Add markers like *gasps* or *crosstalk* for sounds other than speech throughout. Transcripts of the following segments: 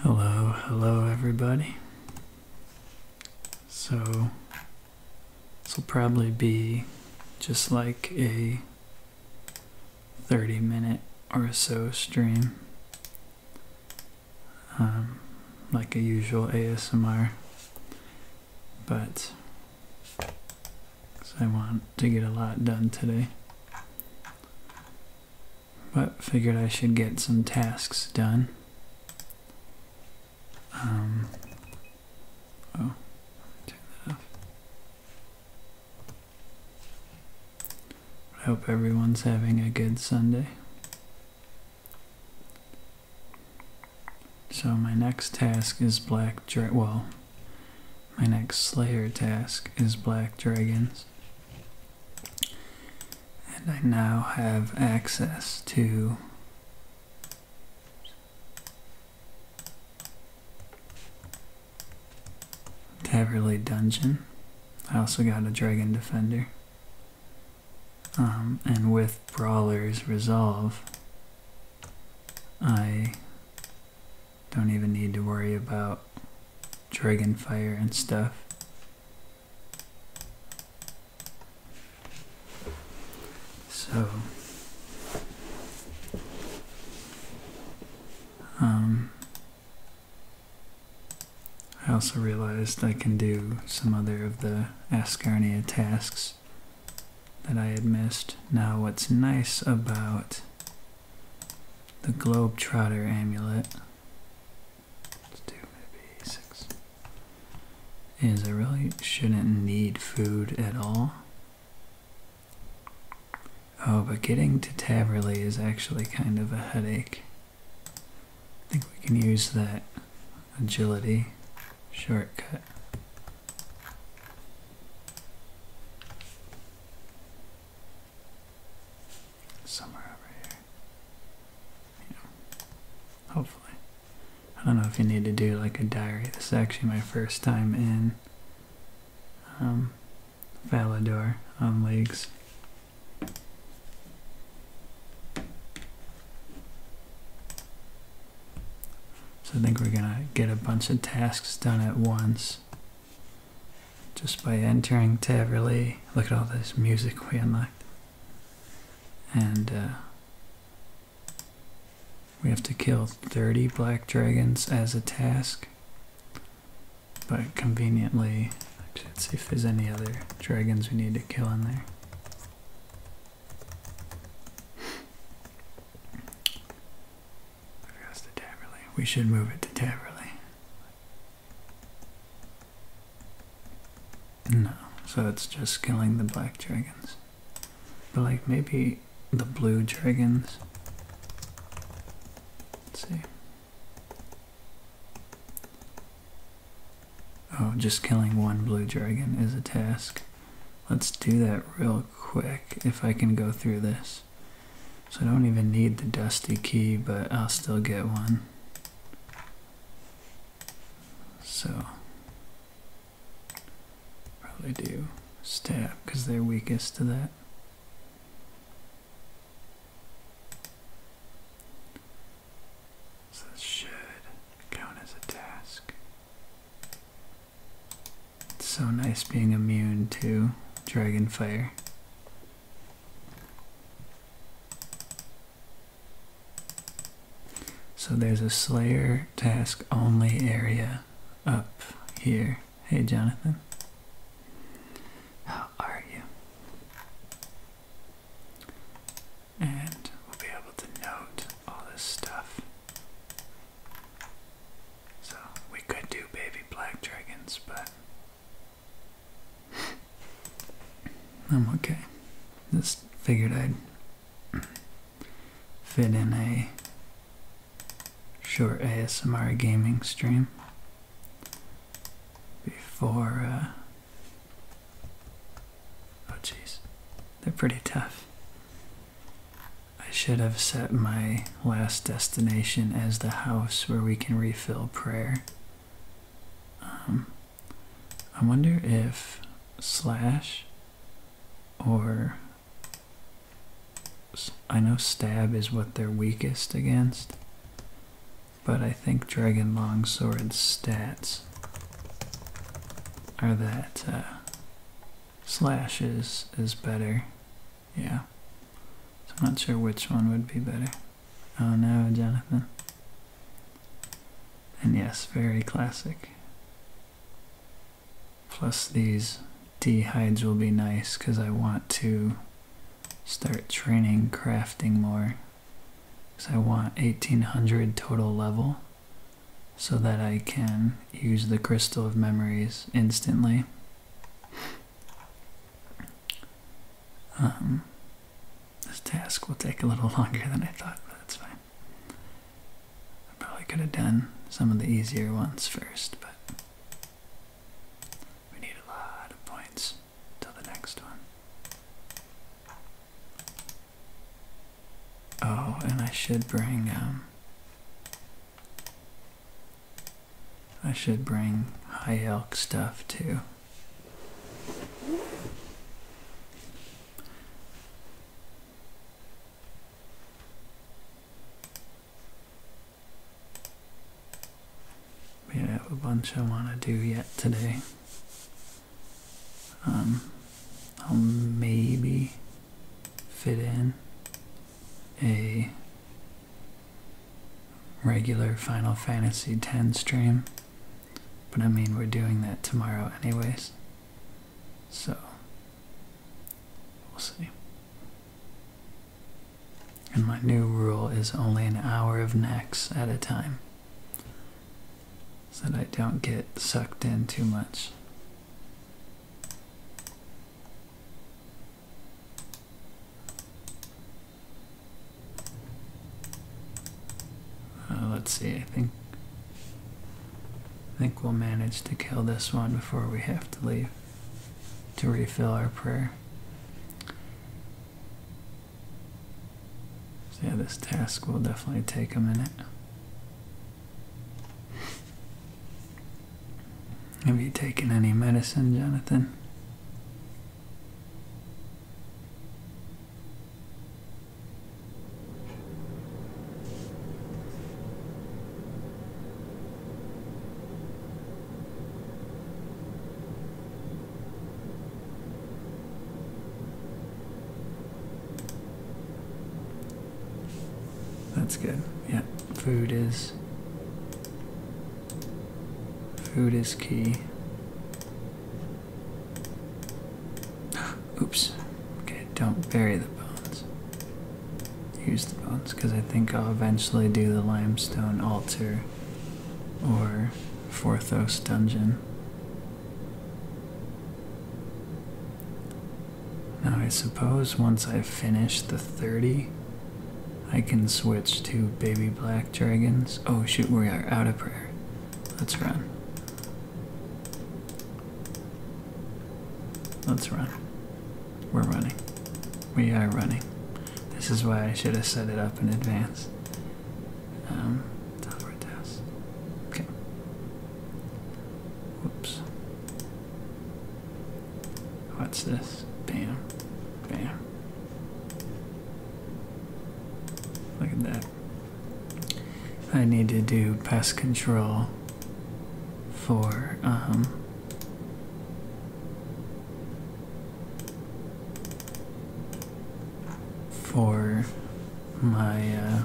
Hello, hello everybody. So, this will probably be just like a 30 minute or so stream, um, like a usual ASMR, but because I want to get a lot done today but figured I should get some tasks done. Um, oh, turn that off. I hope everyone's having a good Sunday. So my next task is black, well, my next Slayer task is Black Dragons. And I now have access to Taverly Dungeon. I also got a Dragon Defender. Um, and with Brawler's Resolve, I don't even need to worry about dragon fire and stuff. So, um, I also realized I can do some other of the Ascarnia tasks that I had missed. Now, what's nice about the Globetrotter amulet. Let's do maybe six. Is I really shouldn't need food at all. Oh, but getting to Taverley is actually kind of a headache. I think we can use that agility shortcut somewhere over here. hopefully. I don't know if you need to do like a diary. This is actually my first time in um, Valador on um, leagues. So I think we're gonna get a bunch of tasks done at once just by entering Taverley. Look at all this music we unlocked. And uh, we have to kill 30 black dragons as a task. But conveniently, let's see if there's any other dragons we need to kill in there. We should move it to Taverley. No, so it's just killing the black dragons. But like maybe the blue dragons. Let's see. Oh, just killing one blue dragon is a task. Let's do that real quick if I can go through this. So I don't even need the dusty key, but I'll still get one. So probably do stab because they're weakest to that. So this should count as a task. It's so nice being immune to dragon fire. So there's a Slayer task only area up here. Hey, Jonathan. How are you? And we'll be able to note all this stuff. So we could do baby black dragons, but *laughs* I'm okay. Just figured I'd fit in a short ASMR gaming stream before. Uh, oh, jeez. They're pretty tough. I should have set my last destination as the house where we can refill prayer. Um, I wonder if slash or I know stab is what they're weakest against, but I think Dragon longsword stats are that uh, slash is better yeah. So I'm not sure which one would be better. Oh no, Jonathan. And yes, very classic. Plus these D hides will be nice because I want to start training crafting more. Because I want 1800 total level so that I can use the Crystal of Memories instantly. Um, this task will take a little *laughs* longer than I thought, but that's fine. I probably could have done some of the easier ones first, but we need a lot of points till the next one. Oh, and I should bring um I should bring high elk stuff too. I have a bunch I want to do yet today. Um, I'll maybe fit in a regular Final Fantasy X stream. But I mean, we're doing that tomorrow, anyways. So, we'll see. And my new rule is only an hour of necks at a time so that I don't get sucked in too much. Uh, let's see, I think I think we'll manage to kill this one before we have to leave to refill our prayer. yeah, this task will definitely take a minute. Have you taken any medicine, Jonathan? That's good. Yeah, food is Food is key. *gasps* Oops. Okay, don't bury the bones. Use the bones, because I think I'll eventually do the limestone altar or Forthos dungeon. Now, I suppose once I've finished the 30, I can switch to baby black dragons. Oh shoot, we are out of prayer. Let's run. Let's run. We're running. We are running. This is why I should have set it up in advance. Um, teleport house. Okay. Whoops. What's this? Bam. Bam. Look at that. I need to do pest control for um for my uh,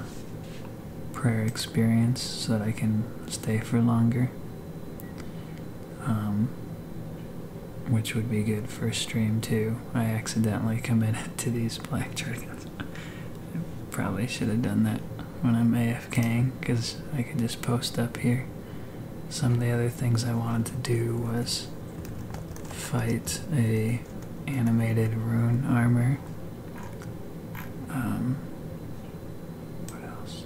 prayer experience so that I can stay for longer. Um, which would be good for a stream too. I accidentally committed to these black dragons. *laughs* probably should have done that when I'm AFK because I could just post up here. Some of the other things I wanted to do was fight a animated rune armor. Um, what else?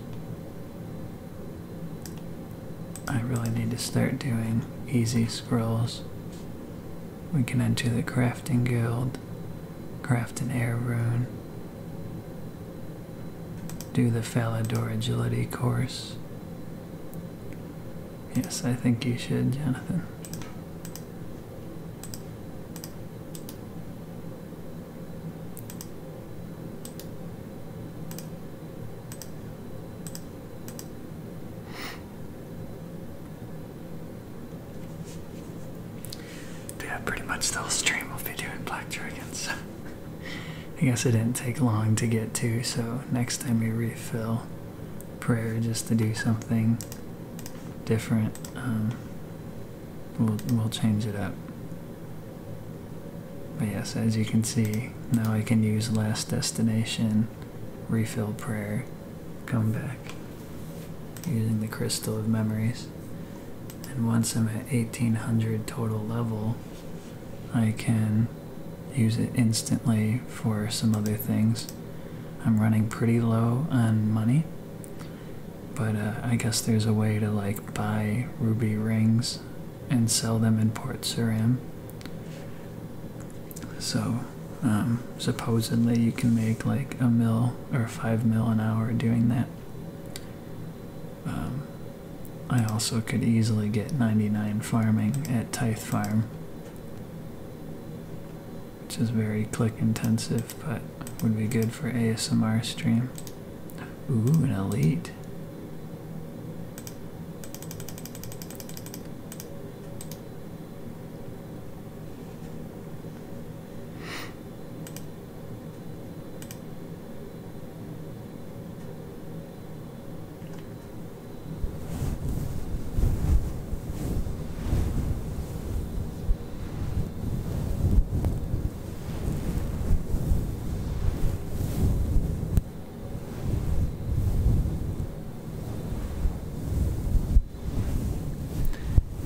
I really need to start doing easy scrolls. We can enter the crafting guild, craft an air rune, do the Falador agility course. Yes, I think you should, Jonathan. Yeah, pretty much the whole stream will be doing Black Dragons. *laughs* I guess it didn't take long to get to, so next time we refill prayer just to do something different, um, we'll, we'll change it up yes, as you can see, now I can use Last Destination, Refill Prayer, Come Back, using the Crystal of Memories. And once I'm at 1800 total level, I can use it instantly for some other things. I'm running pretty low on money, but uh, I guess there's a way to like buy ruby rings and sell them in Port Suram. So, um, supposedly you can make like a mil or five mil an hour doing that. Um, I also could easily get 99 farming at Tithe Farm, which is very click intensive but would be good for ASMR stream. Ooh, an elite.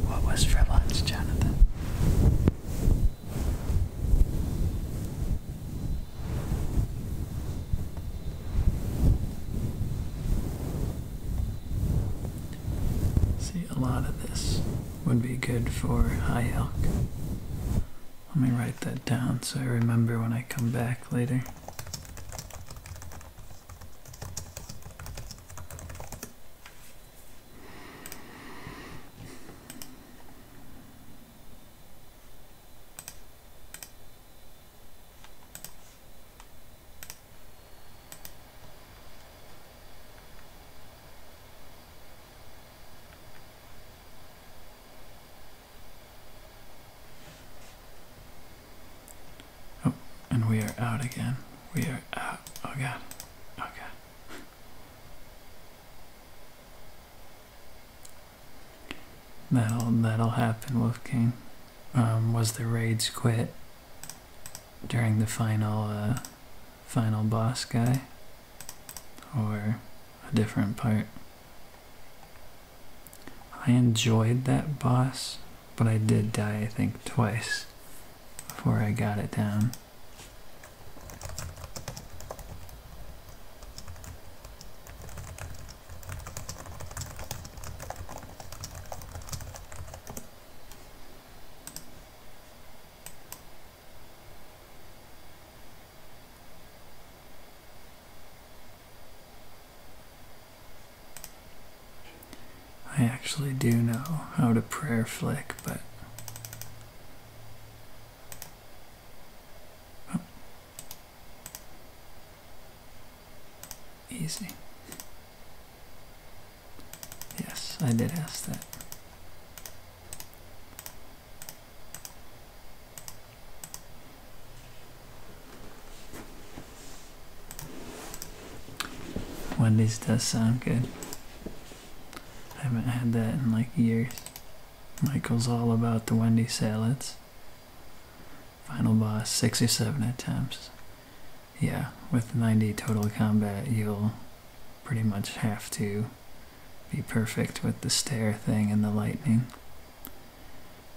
What was for lunch, Jonathan? See, a lot of this would be good for high elk. Let me write that down so I remember when I come back later. Oh, and we are out again. We are out. Oh god. Oh god. *laughs* That'll that'll happen, Wolf King. Um, was the raids quit during the final uh, final boss guy? or a different part. I enjoyed that boss, but I did die, I think, twice before I got it down. I actually do know how to prayer flick, but oh. easy. Yes, I did ask that. When this does sound good. I haven't had that in like years. Michael's all about the Wendy salads. Final boss, 67 attempts. Yeah, with 90 total combat, you'll pretty much have to be perfect with the stare thing and the lightning.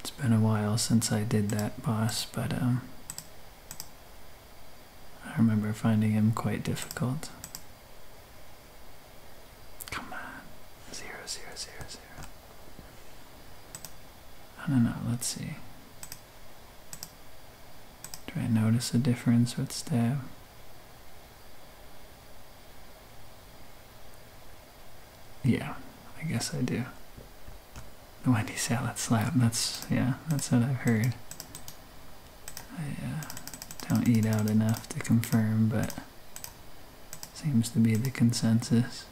It's been a while since I did that boss, but um, I remember finding him quite difficult. Come on, zero, zero, zero, zero. I don't know. Let's see. Do I notice a difference with stab? Yeah, I guess I do. The Wendy salad slap, that's, yeah, that's what I've heard. I uh, don't eat out enough to confirm, but seems to be the consensus.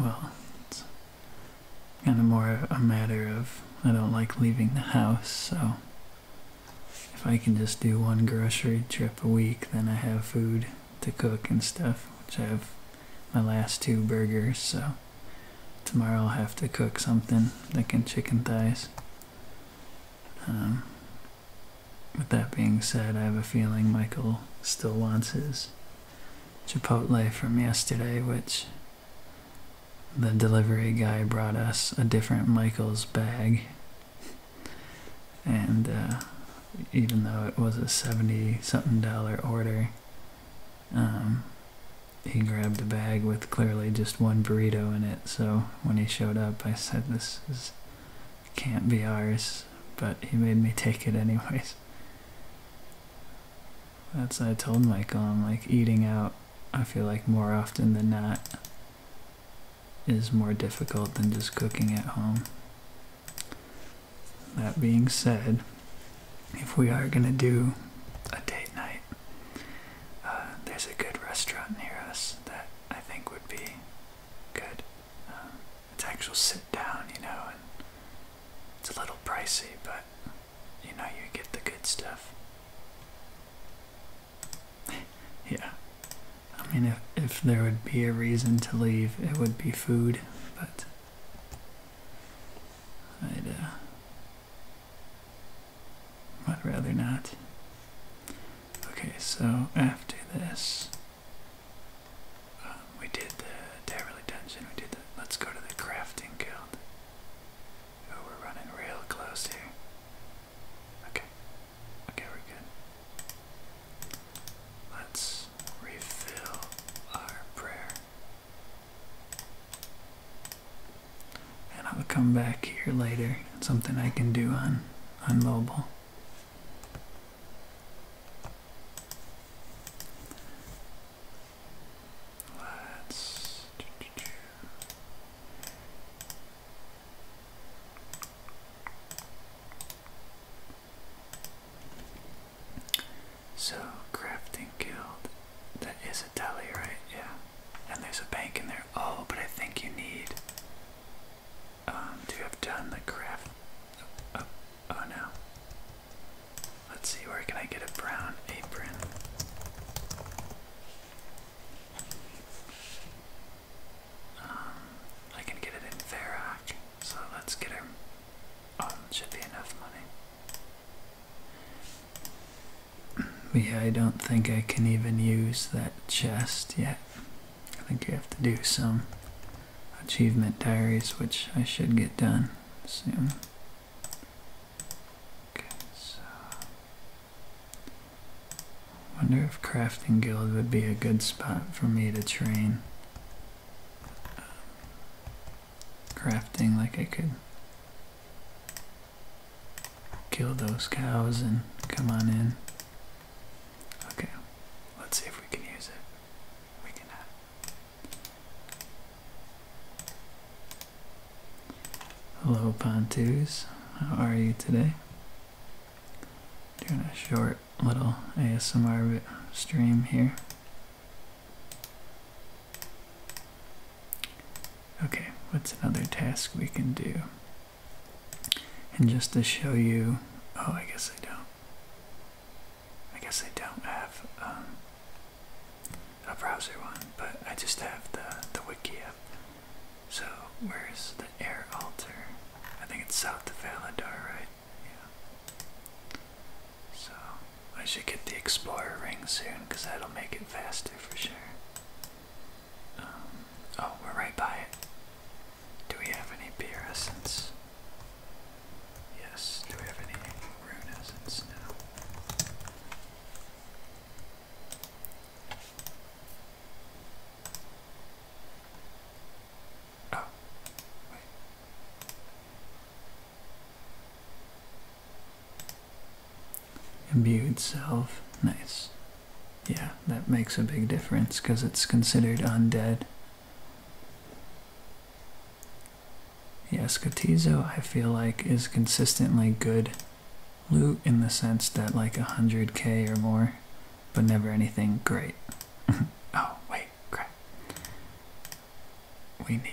Well, kind of more a matter of I don't like leaving the house, so if I can just do one grocery trip a week, then I have food to cook and stuff, which I have my last two burgers, so tomorrow I'll have to cook something like in chicken thighs. Um, with that being said, I have a feeling Michael still wants his Chipotle from yesterday, which the delivery guy brought us a different Michael's bag, and uh, even though it was a 70 something dollar order, um, he grabbed a bag with clearly just one burrito in it. So when he showed up, I said, This can't be ours, but he made me take it anyways. That's what I told Michael. I'm like eating out. I feel like more often than not is more difficult than just cooking at home. That being said, if we are gonna do a date night, uh, there's a good restaurant near us that I think would be good. Uh, it's actual sit down, you know, and it's a little pricey, but you know, you get the good stuff. *laughs* yeah. I mean, if, if there would be a reason to leave, it would be food, but. I'd, uh, I'd rather not. Okay, so after this, um, we did the Daryly Dungeon, we did the, let's go to the Crafting Guild. Oh, we're running real close here. Okay. Okay, we're good. Let's refill our prayer. And I'll come back here later. something I can do on on mobile. So, crafting guild. That is a deli, right? Yeah. And there's a bank in there. Oh, but I think you need um, to have done the craft. oh, oh, oh no. Let's see, where can I get a brown apron? Um, I can get it in Verac, so let's get him. Um, should be enough money. *clears throat* yeah, I don't think I can even use that chest yet. I think you have to do some achievement diaries, which I should get done soon. Okay, wonder if crafting guild would be a good spot for me to train. crafting like I could kill those cows and come on in. Okay, let's see if we can use it. We cannot. Hello, Pontus. How are you today? Doing a short little ASMR stream here. Okay, what's another task we can do? And just to show you, oh, I guess I don't. I guess I don't have um, a browser one, but I just have the, the wiki up. So, where's the air altar? I think it's south of Valadar, right? Yeah. So, I should get the explorer ring soon, because that'll make it faster for sure. Um, oh, we're right by it. Do we have any beer essence? Yes. Do we have any rune essence now? Oh, wait. self. Nice. Yeah, that makes a big difference because it's considered undead. Yeah, Scotizo, I feel like, is consistently good loot in the sense that like 100k or more, but never anything great. *laughs* oh, wait, crap. We need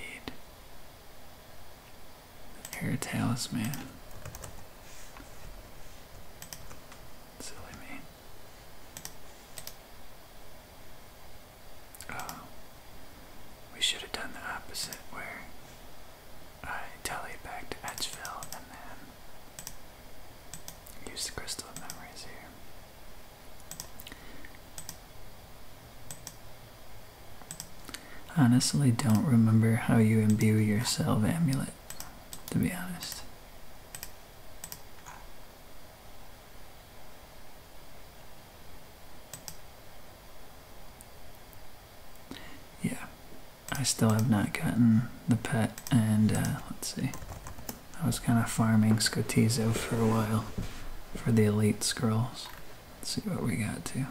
the talisman. Silly me. Oh. We should have done the opposite where I tallied back to Edgeville and then use the crystal of memories here. Honestly, don't remember how you imbue your salve amulet, to be honest. Yeah, I still have not gotten the pet, and uh, let's see. I was kind of farming Scotizo for a while for the elite scrolls. Let's see what we got to.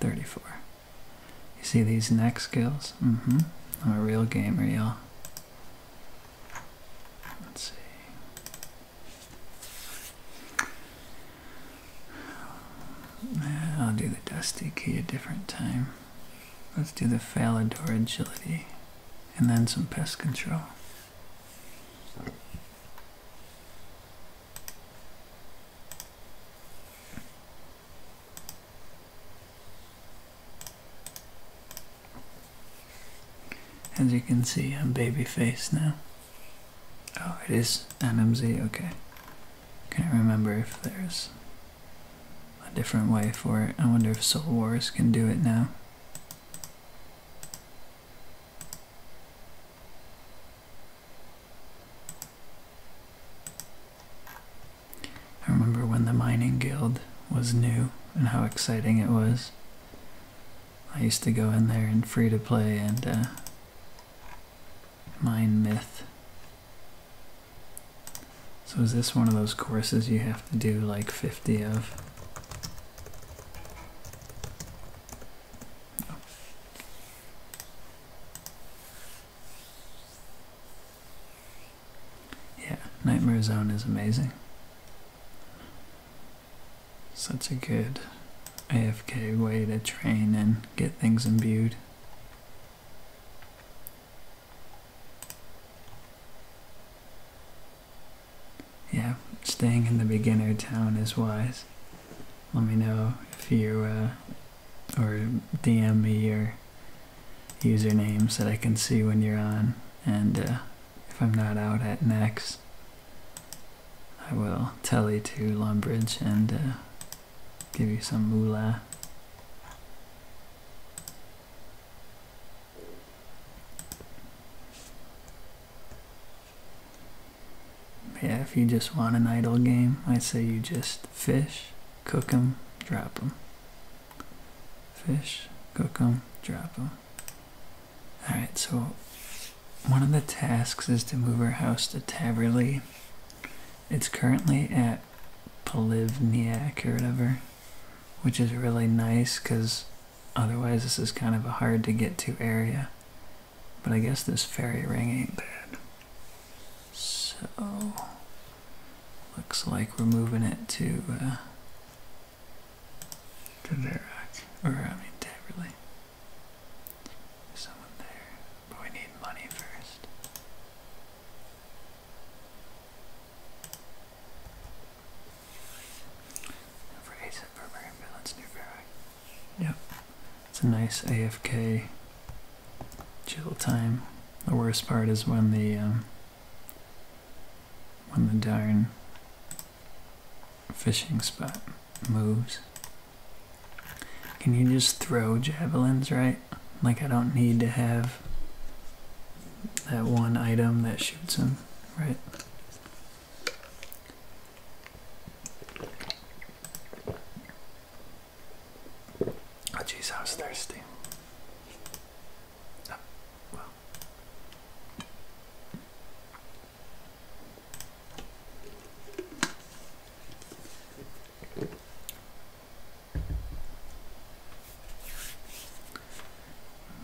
34. You see these next skills? Mm-hmm. I'm a real gamer, y'all. Let's see. I'll do the Dusty Key a different time. Let's do the Falador Agility and then some Pest Control. As you can see, I'm baby-faced now. Oh, it is MMZ. Okay. Can't remember if there's a different way for it. I wonder if Civil Wars can do it now. I remember when the Mining Guild was new and how exciting it was. I used to go in there and free to play and uh, Mine Myth. So is this one of those courses you have to do like 50 of? Yeah, Nightmare Zone is amazing. Such a good AFK way to train and get things imbued. Yeah, staying in the beginner town is wise. Let me know if you, uh, or DM me your usernames that I can see when you're on, and uh, if I'm not out at next. I will tally to Longbridge and uh, give you some moolah. Yeah, if you just want an idle game, I say you just fish, cook 'em, drop 'em. Fish, cook 'em, drop 'em. Alright, so one of the tasks is to move our house to Taverley. It's currently at Polivniak or whatever, which is really nice because otherwise this is kind of a hard to get to area. But I guess this fairy ring ain't bad. So, looks like we're moving it to, uh, to Verac, or I mean Taverley. There's someone there, but we need money first. for ASAP Burberry and Balance New Yep. It's a nice AFK chill time. The worst part is when the um, when the darn fishing spot moves. Can you just throw javelins, right? Like I don't need to have that one item that shoots them, right? Oh jeez, I was thirsty. Oh,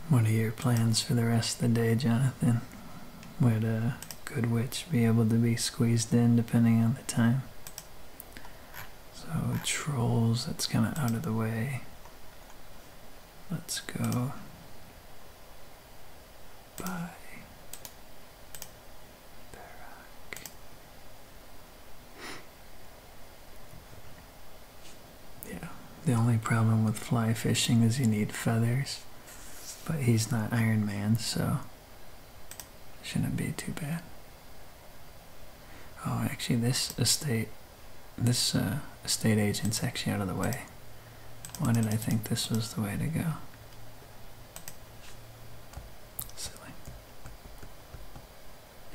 what are your plans for the rest of the day, Jonathan? Would a good witch be able to be squeezed in depending on the time? So, trolls, that's kind of out of the way. Let's go. Barak. yeah, the only problem with fly fishing is you need feathers, but he's not Iron Man, so shouldn't be too bad. Oh, actually, this estate, this uh, estate agent's actually out of the way. Why did I think this was the way to go? Silly.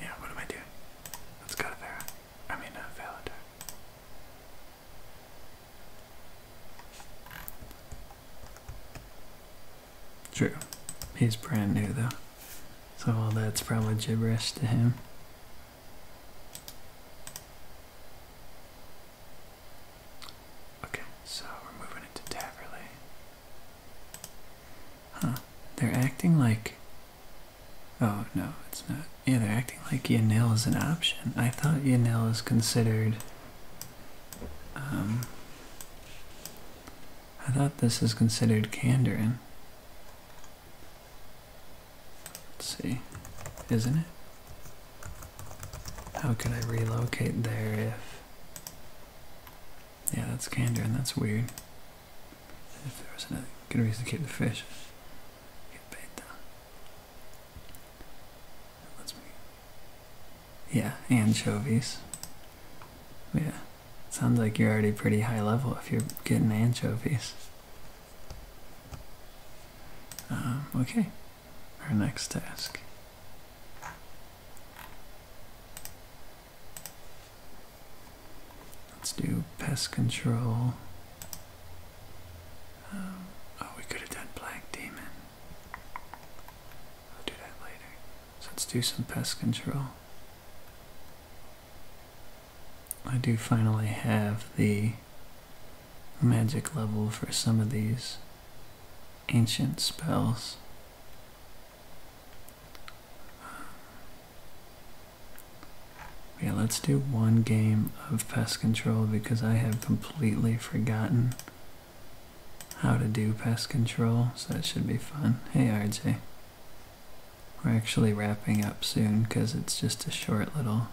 Yeah, what am I doing? Let's go to Vera. I mean, uh, Validar. True. He's brand new though. So all that's probably gibberish to him. Okay, so we're moving into Taverley. Huh, they're acting like. Oh, no, it's not. Yeah, they're acting like Yanil is an option. I thought Yanil is considered. Um, I thought this is considered Candorin. Let's see, isn't it? How could I relocate there if... Yeah, that's candor and that's weird. If there was another good reason to keep the fish. Yeah, anchovies. Yeah. Sounds like you're already pretty high level if you're getting anchovies. Um, okay our next task. Let's do pest control. Um, oh, we could have done Black Demon. I'll do that later. So let's do some pest control. I do finally have the magic level for some of these ancient spells. Yeah, let's do one game of pest control because I have completely forgotten how to do pest control, so it should be fun. Hey RJ. We're actually wrapping up soon because it's just a short little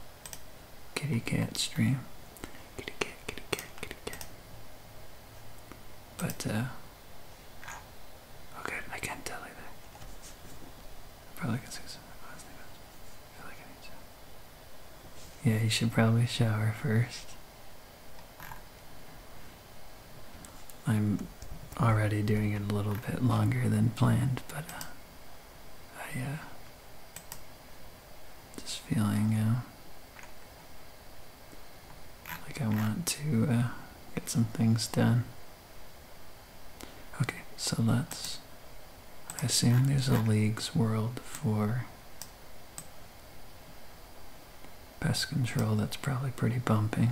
kitty cat stream. Kitty cat, kitty cat, kitty cat. But, uh. Oh, good, I can't tell either. Probably can say something last name. I feel like I need to. Yeah, you should probably shower first. I'm already doing it a little bit longer than planned, but uh, I uh, just feeling uh, like I want to uh, get some things done. Okay, so let's. assume there's a leagues world for pest control that's probably pretty bumping.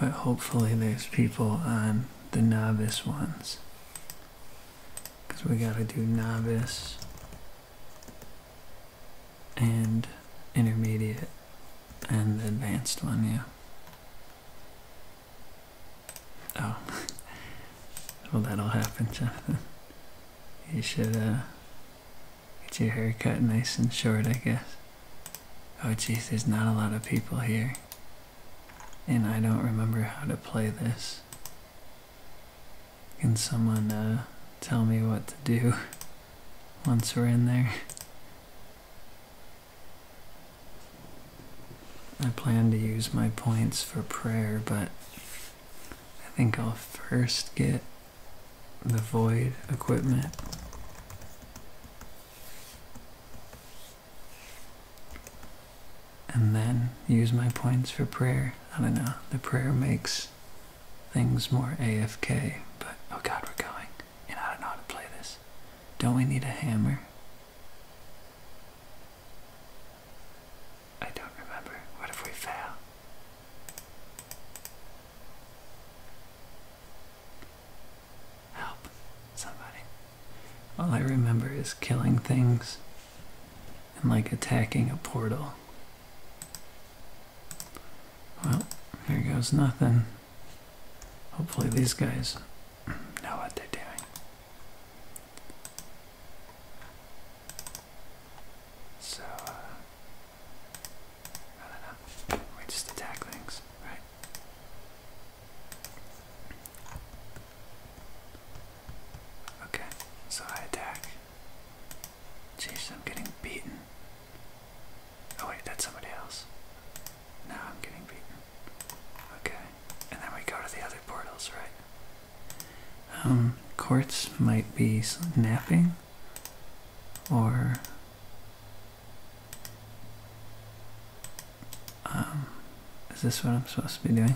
But hopefully there's people on the novice ones because we gotta do novice and intermediate and the advanced one, yeah. Oh, *laughs* well that'll happen, Jonathan. *laughs* You should uh, get your hair cut nice and short, I guess. Oh, jeez, there's not a lot of people here and I don't remember how to play this. Can someone uh, tell me what to do *laughs* once we're in there? I plan to use my points for prayer, but I think I'll first get the void equipment and then use my points for prayer. I don't know. The prayer makes things more AFK, but oh god, we're going. And I don't know how to play this. Don't we need a hammer? I don't remember. What if we fail? Help. Somebody. All I remember is killing things and like attacking a portal. Well, here goes nothing. Hopefully these guys know what they're doing. So, uh, I don't know. We just attack things, right? Okay, so I attack. Jeez, I'm getting beaten. Oh wait, that's somebody else. No, I'm getting beaten. Okay, and then we go to the other portals, right? Um, courts might be napping, or um, is this what I'm supposed to be doing?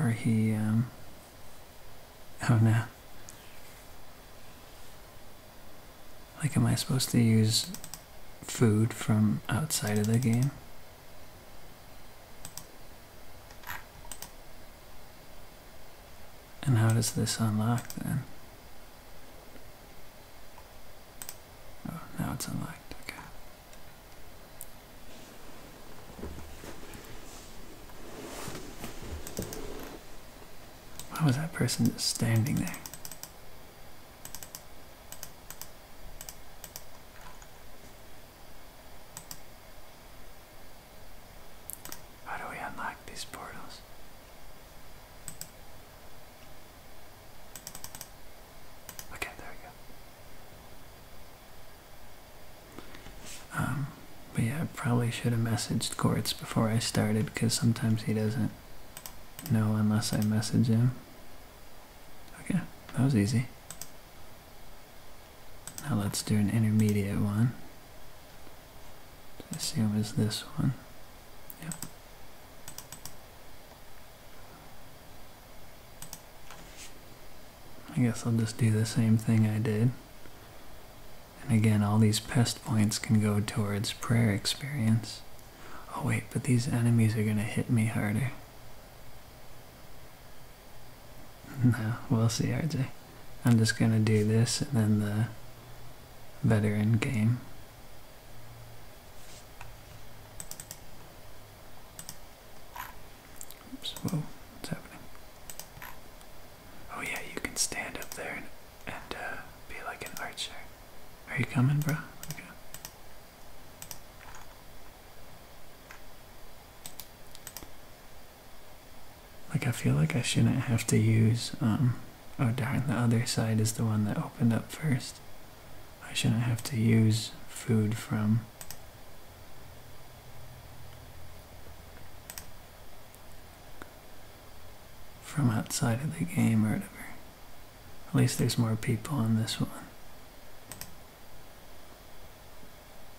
Or he, um, oh no. Like, am I supposed to use food from outside of the game? And how does this unlock then? Oh, now it's unlocked, okay. Why was that person just standing there? How do we unlock these portals? Okay, there we go. Um, but yeah, I probably should have messaged Quartz before I started because sometimes he doesn't know unless I message him. Okay, that was easy. Now let's do an intermediate one. I assume is this one. Yep. I guess I'll just do the same thing I did. And again, all these pest points can go towards prayer experience. Oh wait, but these enemies are gonna hit me harder. No, *laughs* we'll see, RJ. I'm just gonna do this and then the veteran game. Oops, what's happening? Oh yeah, you can stand up there and, uh, be like an archer. Are you coming, bro? Like I feel like I shouldn't have to use, um, oh darn, the other side is the one that opened up first. I shouldn't have to use food from from outside of the game or whatever. At least there's more people in this one.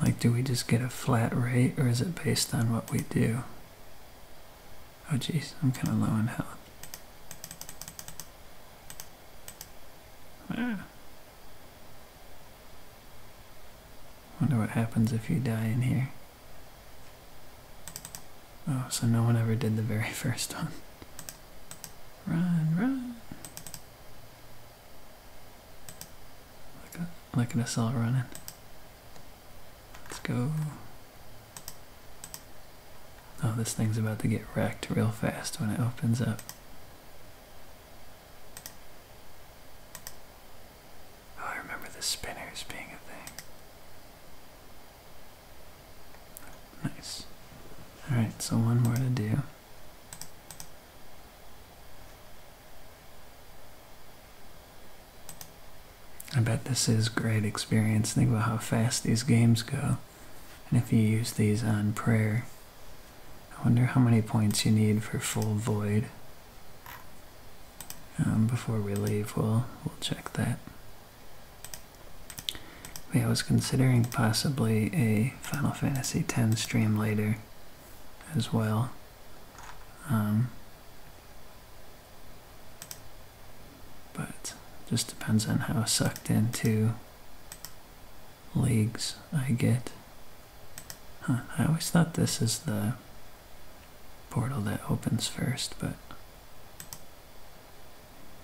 Like, do we just get a flat rate or is it based on what we do? Oh, jeez, I'm kind of low in health. Ah. Wonder what happens if you die in here. Oh, so no one ever did the very *laughs* first one. Run, run. Look at, look at us running. Let's go. Oh, this thing's about to get wrecked real fast when it opens up. Oh, I remember the spinners being a thing. Nice. Alright, so one more to do. I bet this is great experience. Think about how fast these games go. And if you use these on prayer, I wonder how many points you need for full void. Um, before we leave, we'll, we'll check that. yeah, I was considering possibly a Final Fantasy X stream later as well. Um, but just depends on how sucked into leagues I get. I always thought this is the portal that opens first, but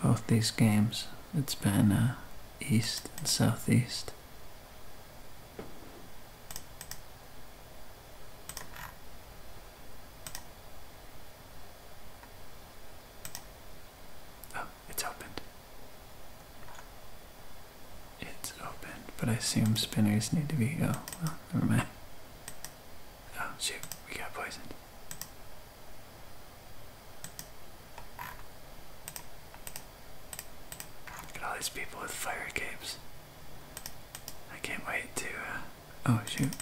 both these games, it's been uh, east and southeast. Oh, it's opened. It's open, but I assume spinners need to be. Oh, never mind. Oh, shoot, we got poisoned. Look at all these people with fire capes. I can't wait to. Uh, oh, shoot.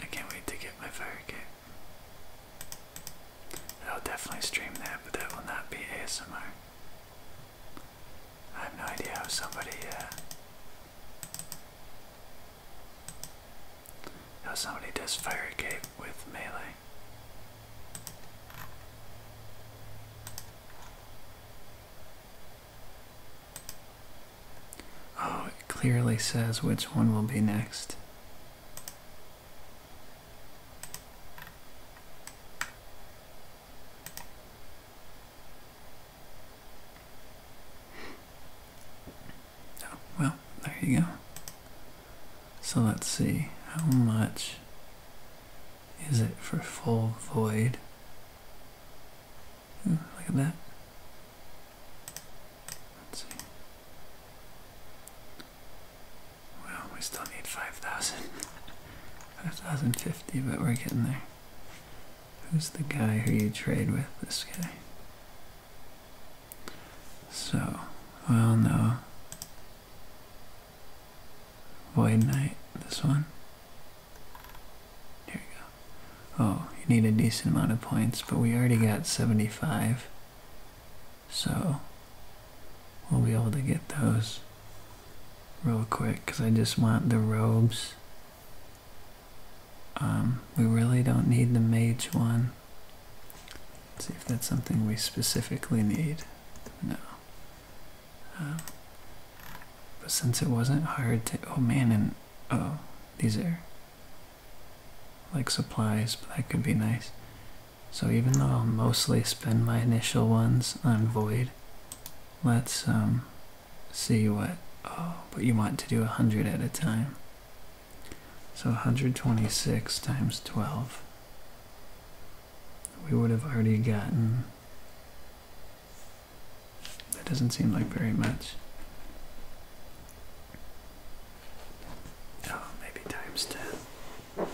I can't wait to get my fire cape. I'll definitely stream that, but that will not be ASMR. I have no idea how somebody, uh, how somebody does fire cape with melee. Oh, it clearly says which one will be next. Oh, well, there you go. So let's see how much is it for full void? Hmm, look at that. Let's see. Well, we still need 5,000. *laughs* 5,050, but we're getting there. Who's the guy who you trade with? This guy. So, well, no. Void Knight, this one. Here we go. Oh, you need a decent amount of points, but we already got 75. So, we'll be able to get those real quick, because I just want the robes. Um, we really don't need the mage one. see if that's something we specifically need. No. but since it wasn't hard to. Oh man, and. Oh, these are. Like supplies, but that could be nice. So even though I'll mostly spend my initial ones on void, let's um, see what. Oh, but you want to do 100 at a time. So 126 times 12 we would have already gotten. Mm. That doesn't seem like very much. Oh, maybe times 10.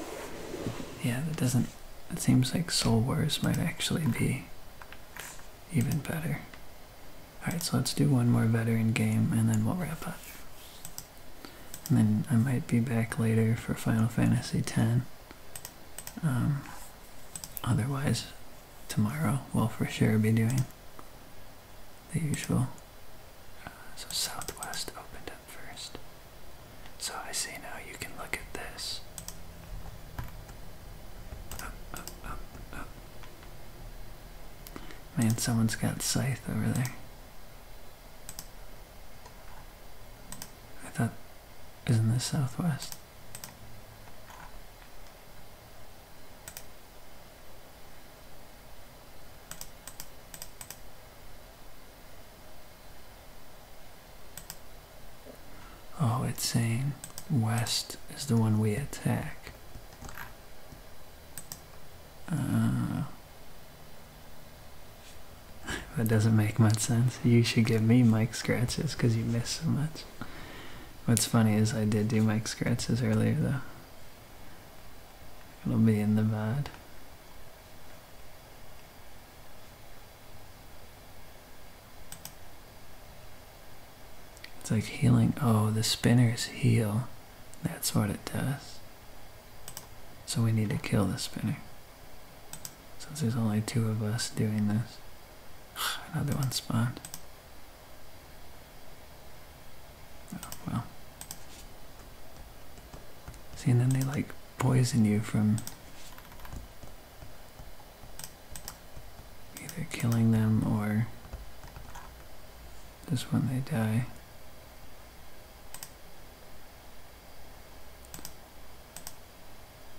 Yeah, that doesn't. It seems like Soul Wars might actually be even better. Alright, so let's do one more veteran game and then we'll wrap up. And then I might be back later for Final Fantasy X. Um, otherwise, tomorrow we'll for sure be doing the usual. Uh, so Southwest opened up first. So I see now you can look at this. Man, someone's got Scythe over there. I thought, isn't this southwest? Oh, it's saying west is the one we attack. Uh, that doesn't make much sense. You should give me mic scratches because you miss so much. What's funny is I did do mic scratches earlier though. It'll be in the VOD. It's like healing. Oh, the spinners heal. That's what it does. So we need to kill the spinner. Since there's only two of us doing this. *sighs* Another one spawned. Oh, well. See, and then they like poison you from either killing them or just when they die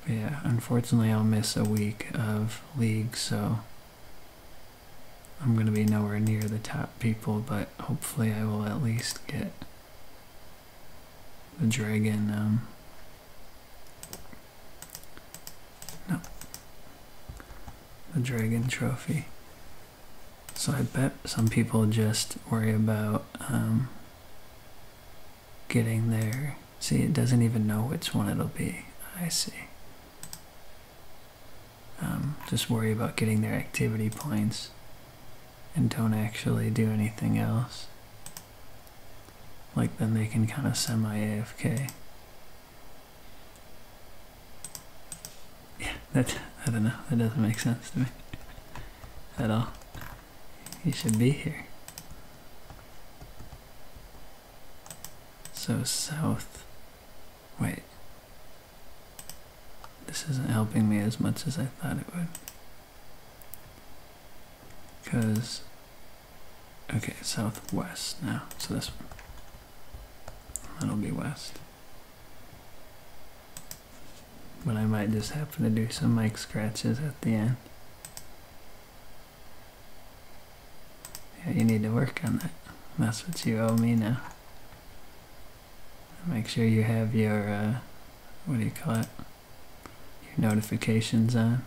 yeah, unfortunately I'll miss a week of league, so I'm going to be nowhere near the top people, but hopefully I will at least get the dragon, um, no, the dragon trophy. So I bet some people just worry about um, getting there. See, it doesn't even know which one it'll be. I see. Um, just worry about getting their activity points and don't actually do anything else. Like then they can kind of semi-AFK. Yeah, that, I don't know, that doesn't make sense to me *laughs* at all. He should be here. So south. Wait. This isn't helping me as much as I thought it would. Because. Okay, southwest now. So this one. That'll be west but I might just happen to do some mic scratches at the end. Yeah, you need to work on that. That's what you owe me now. Make sure you have your, uh, what do you call it? Your notifications on.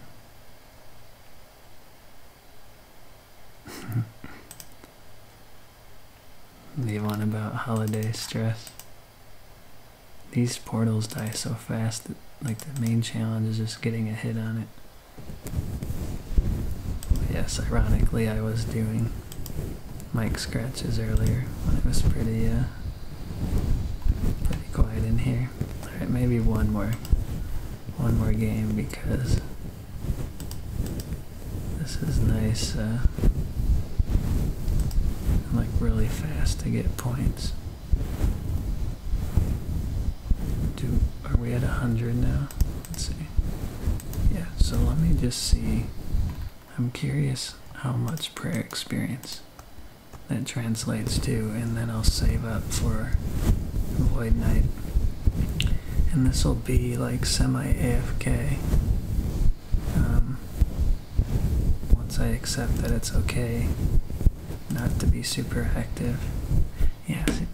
the *laughs* one about holiday stress. These portals die so fast that like the main challenge is just getting a hit on it. yes, ironically I was doing mic scratches earlier when it was pretty uh pretty quiet in here. Alright, maybe one more one more game because this is nice uh, like really fast to get points. Do are we at a hundred now? Let's see. Yeah, so let me just see. I'm curious how much prayer experience that translates to, and then I'll save up for Void Night. And this will be like semi AFK um, once I accept that it's okay not to be super active, yeah. See,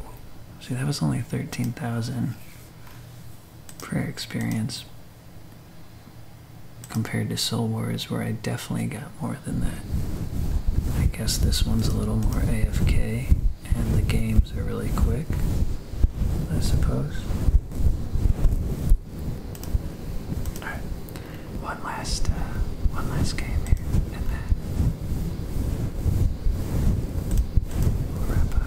see that was only thirteen thousand prayer experience compared to Soul Wars, where I definitely got more than that. I guess this one's a little more AFK, and the games are really quick. I suppose. All right, one last, uh, one last game here, and then we'll wrap up.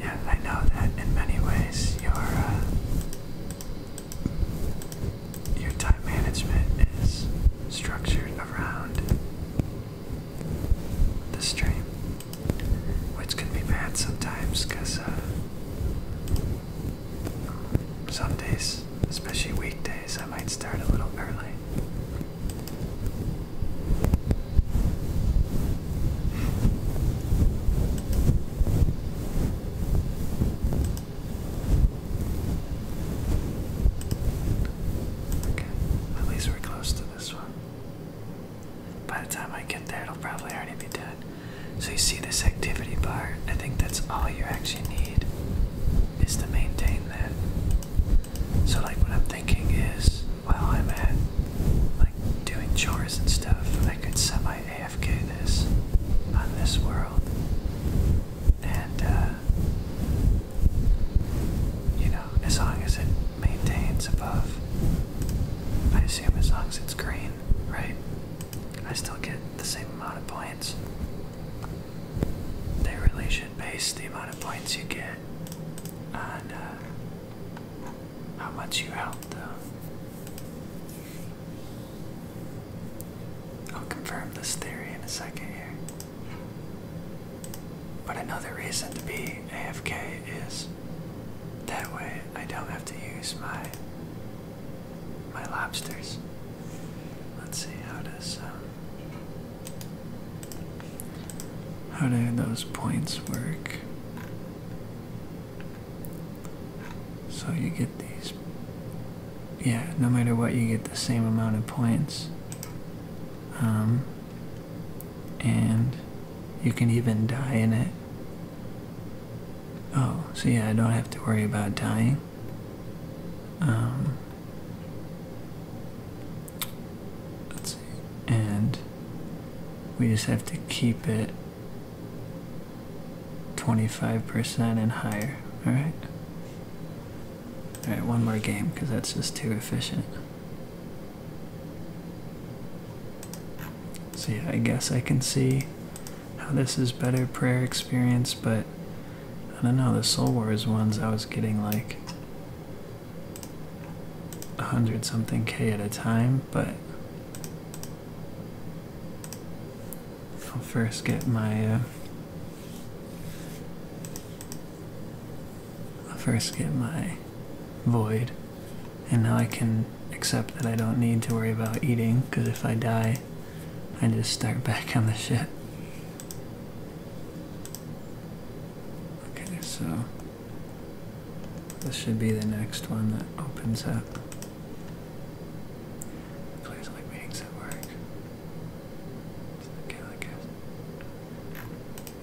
Yeah, I know that in many ways your uh, your time management is structured around the stream, which can be bad sometimes because uh, some days, especially weekdays, I might start a little early. Okay, at least we're close to this one. By the time I get there, it'll probably already be done. So you see this activity bar? I think that's all you actually need is to maintain that. So like what I'm thinking is while I'm at like doing chores and stuff, I could semi AFK this on this world and uh, you know, as long as it maintains above, I assume as long as it's green, right? I still get the same amount of points. They really should base the amount of points you get on uh, how much you help, though. I'll confirm this theory in a second here. But another reason to be AFK is that way I don't have to use my my lobsters. Let's see how does um, how do those points work? So you get these yeah, no matter what, you get the same amount of points. Um, and you can even die in it. Oh, see, I don't have to worry about dying. Um, let's see. And we just have to keep it 25% and higher, alright? Alright, one more game, because that's just too efficient. So yeah, I guess I can see how this is better prayer experience, but I don't know, the Soul Wars ones I was getting like a hundred something K at a time, but I'll first get my. Uh, I'll first get my void, and now I can accept that I don't need to worry about eating, because if I die, I just start *laughs* back on the ship. Okay, so this should be the next one that opens up. Please like meetings at work. okay, I guess.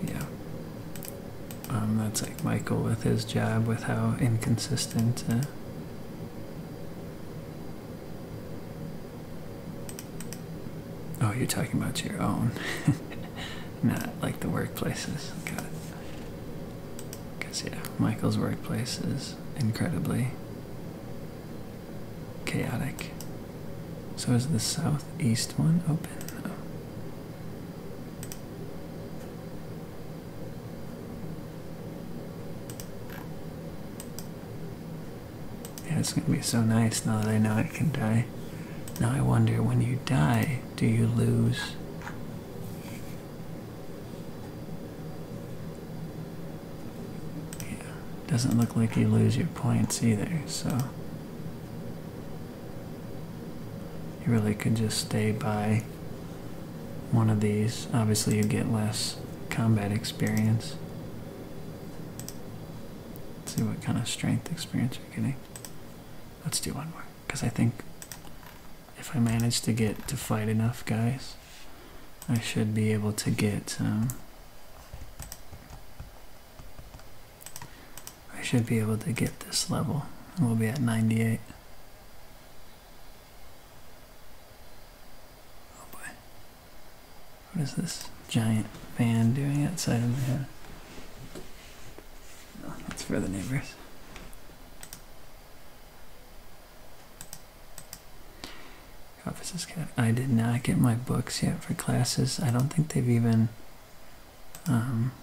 Yeah. Um, that's like Michael with his job, with how inconsistent. Uh, oh, you're talking about your own, *laughs* not like the workplaces. God, because yeah, Michael's workplace is incredibly chaotic. So is the southeast one open? Yeah, it's gonna be so nice now that I know I can die. Now I wonder when you die, do you lose? Yeah, doesn't look like you lose your points either, so you really could just stay by one of these. Obviously, you get less combat experience. see what kind of strength experience you're getting. Let's do one more, because I think if I manage to get to fight enough guys, I should be able to get um, I should be able to get this level. and We'll be at 98. Oh boy. What is this giant fan doing outside of my head? No, that's for the neighbors. Offices oh, Academy. I did not get my books yet for classes. I don't think they've even. Um,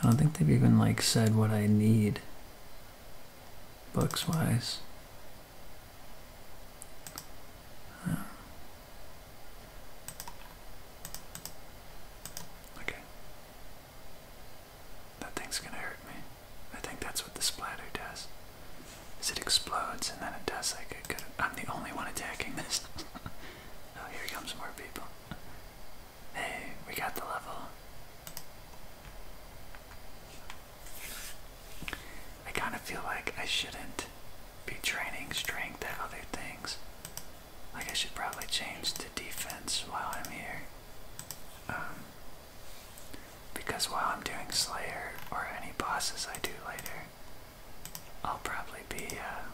I don't think they've even like said what I need. Books wise. Um, okay. That thing's gonna hurt me. I think that's what the splatter does. Is it explodes and then it does like a good. I'm the only one attacking this. *laughs* oh, here comes more people. Hey, we got the level. I kind of feel like I shouldn't be training strength at other things. Like I should probably change to defense while I'm here. Um, because while I'm doing Slayer or any bosses I do later, I'll probably be uh,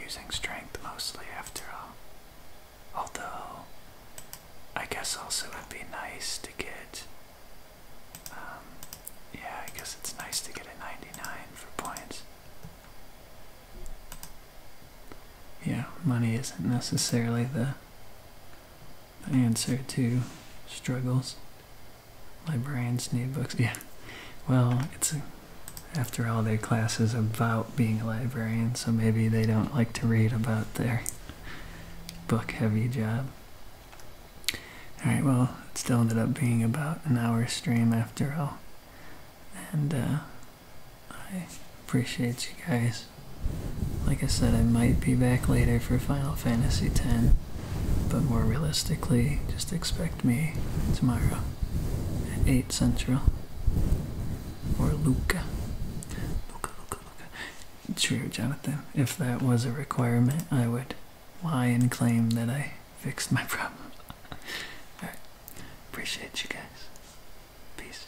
using strength mostly after all. Although, I guess also it'd be nice to get. Um, yeah, I guess it's nice to get a 99 for points. Yeah, money isn't necessarily the the answer to struggles. Librarians need books. *laughs* Yeah. Well, it's after all their classes about being a librarian, so maybe they don't like to read about their book-heavy job. All right. Well, it still ended up being about an hour stream after all, and uh, I appreciate you guys like I said, I might be back later for Final Fantasy X, but more realistically, just expect me tomorrow at 8 Central. Or Luca. Luca, Luca, Luca. True, Jonathan. If that was a requirement, I would lie and claim that I fixed my *laughs* problem. Appreciate you guys. Peace.